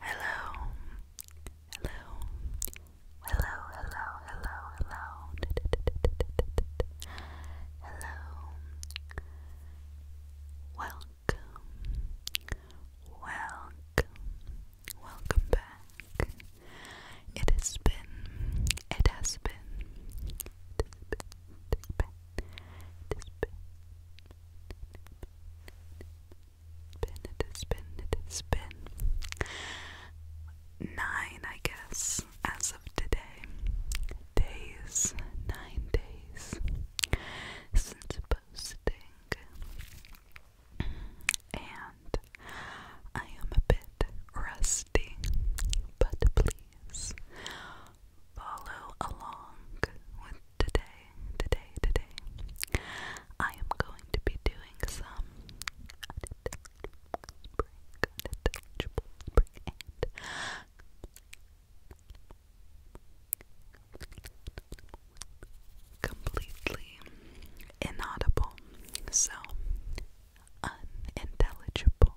Hello, hello, hello, hello, hello, hello, Welcome, welcome, welcome back. It has been, it has been, it is, spin, it is, spin. Nine, I guess, as of today. Days, nine days since posting. And I am a bit rusty, but please follow along with today, today, today. I am going to be doing some completely inaudible. So unintelligible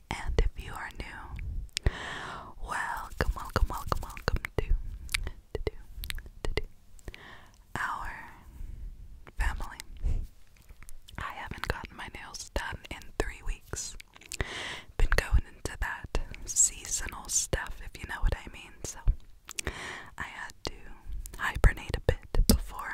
and if you are new, welcome, welcome, welcome, welcome to our family. I haven't gotten my nails done in three weeks. Been going into that seasonal stuff, if you know what I mean. So I had to hibernate a bit before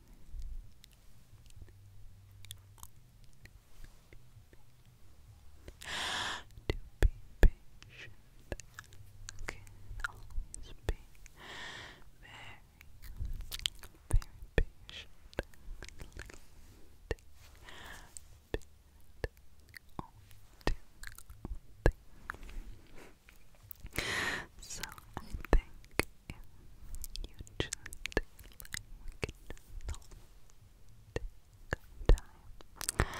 To be patient can always be very, very patient. So I think you just like normal, take time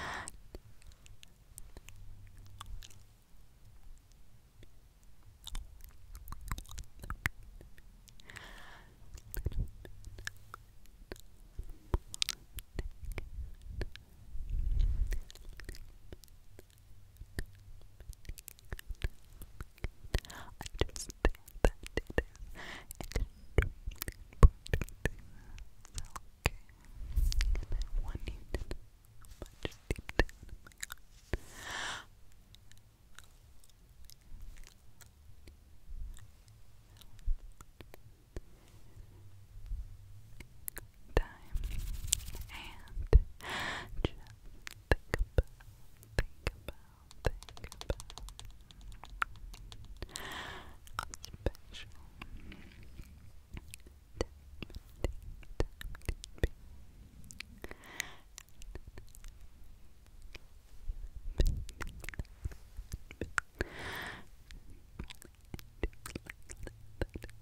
understand that it is extremely important to self-care, and I want you to know much deep down in my heart. I time and think about, think about, think about a special Thank you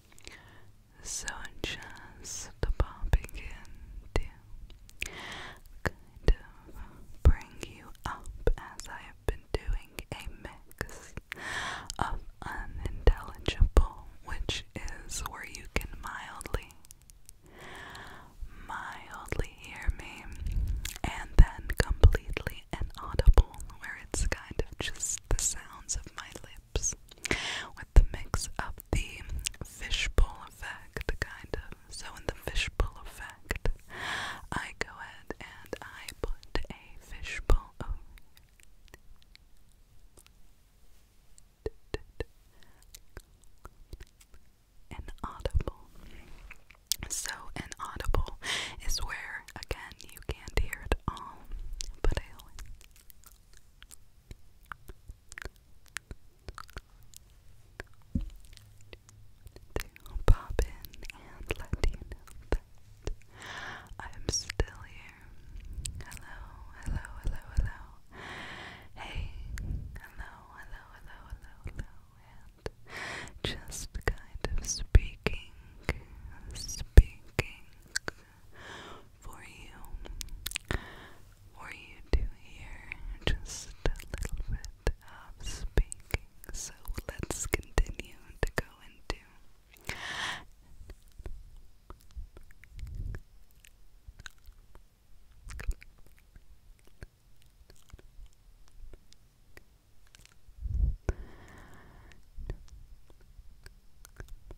So just popping in to bring you up as I have been doing a mix of unintelligible, which is where you can mildly, mildly hear me, and then completely inaudible, where it's kind of just the sounds of my lips with the mix of the fishbowl effect, kind of. So, in the fishbowl effect, I go ahead and I put a fishbowl An audible. So, an audible is where, again, you can't hear it all, but I to pop in and let you know that I'm still here. Hello, hello, hello, hello. Hey, hello, hello, hello, hello, hello, and just kind of speaking, speaking, for you, for you to hear just a little bit of speaking. So let's continue to go into.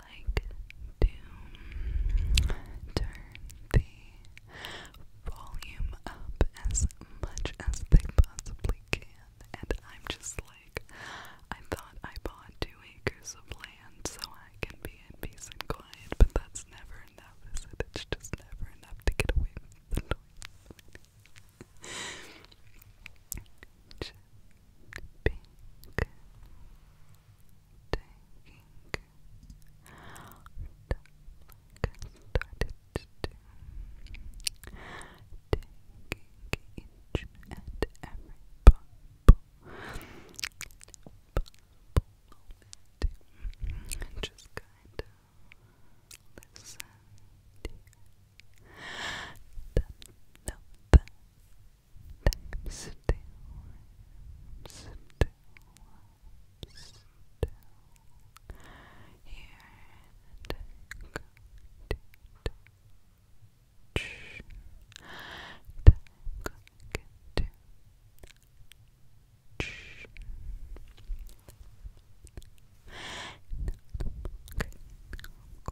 like to turn the volume up as much as they possibly can, and I'm just like, I thought I bought two acres of land so I can be in peace and but that's never enough, It's just never enough to get away from the noise pink taking like I started to do taking each and every bubble and just kind of listen to the number I'm still, still, still here and I'm going to and I'm going to Okay, I'm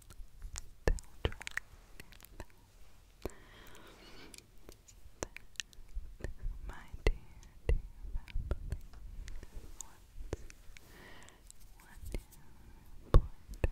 Don't try. My dear, dear family, what's one new important that you do?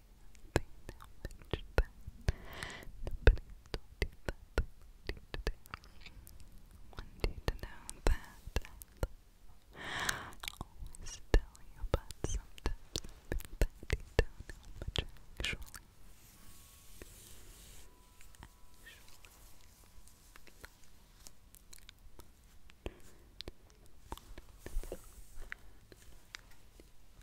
want you to know that I always tell you about something you don't know much actually.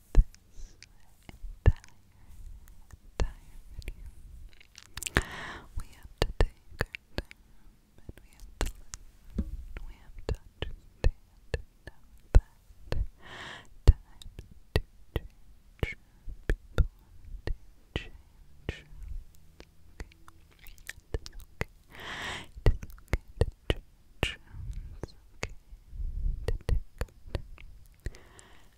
this entire, entire video. We have to take our time and we have to listen. We have to understand and know that time to to change. Okay. It is okay. It is okay okay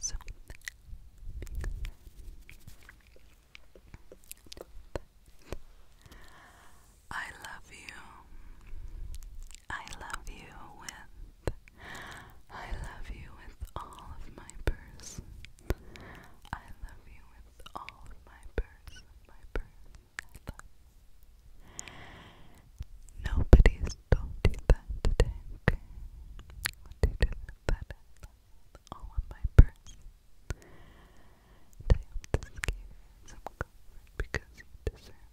So I love you. I love you with I love you with all of my purse. I love you with all of my purse. Nobody's told that today, all of my purse. And I hope this some comfort because deserve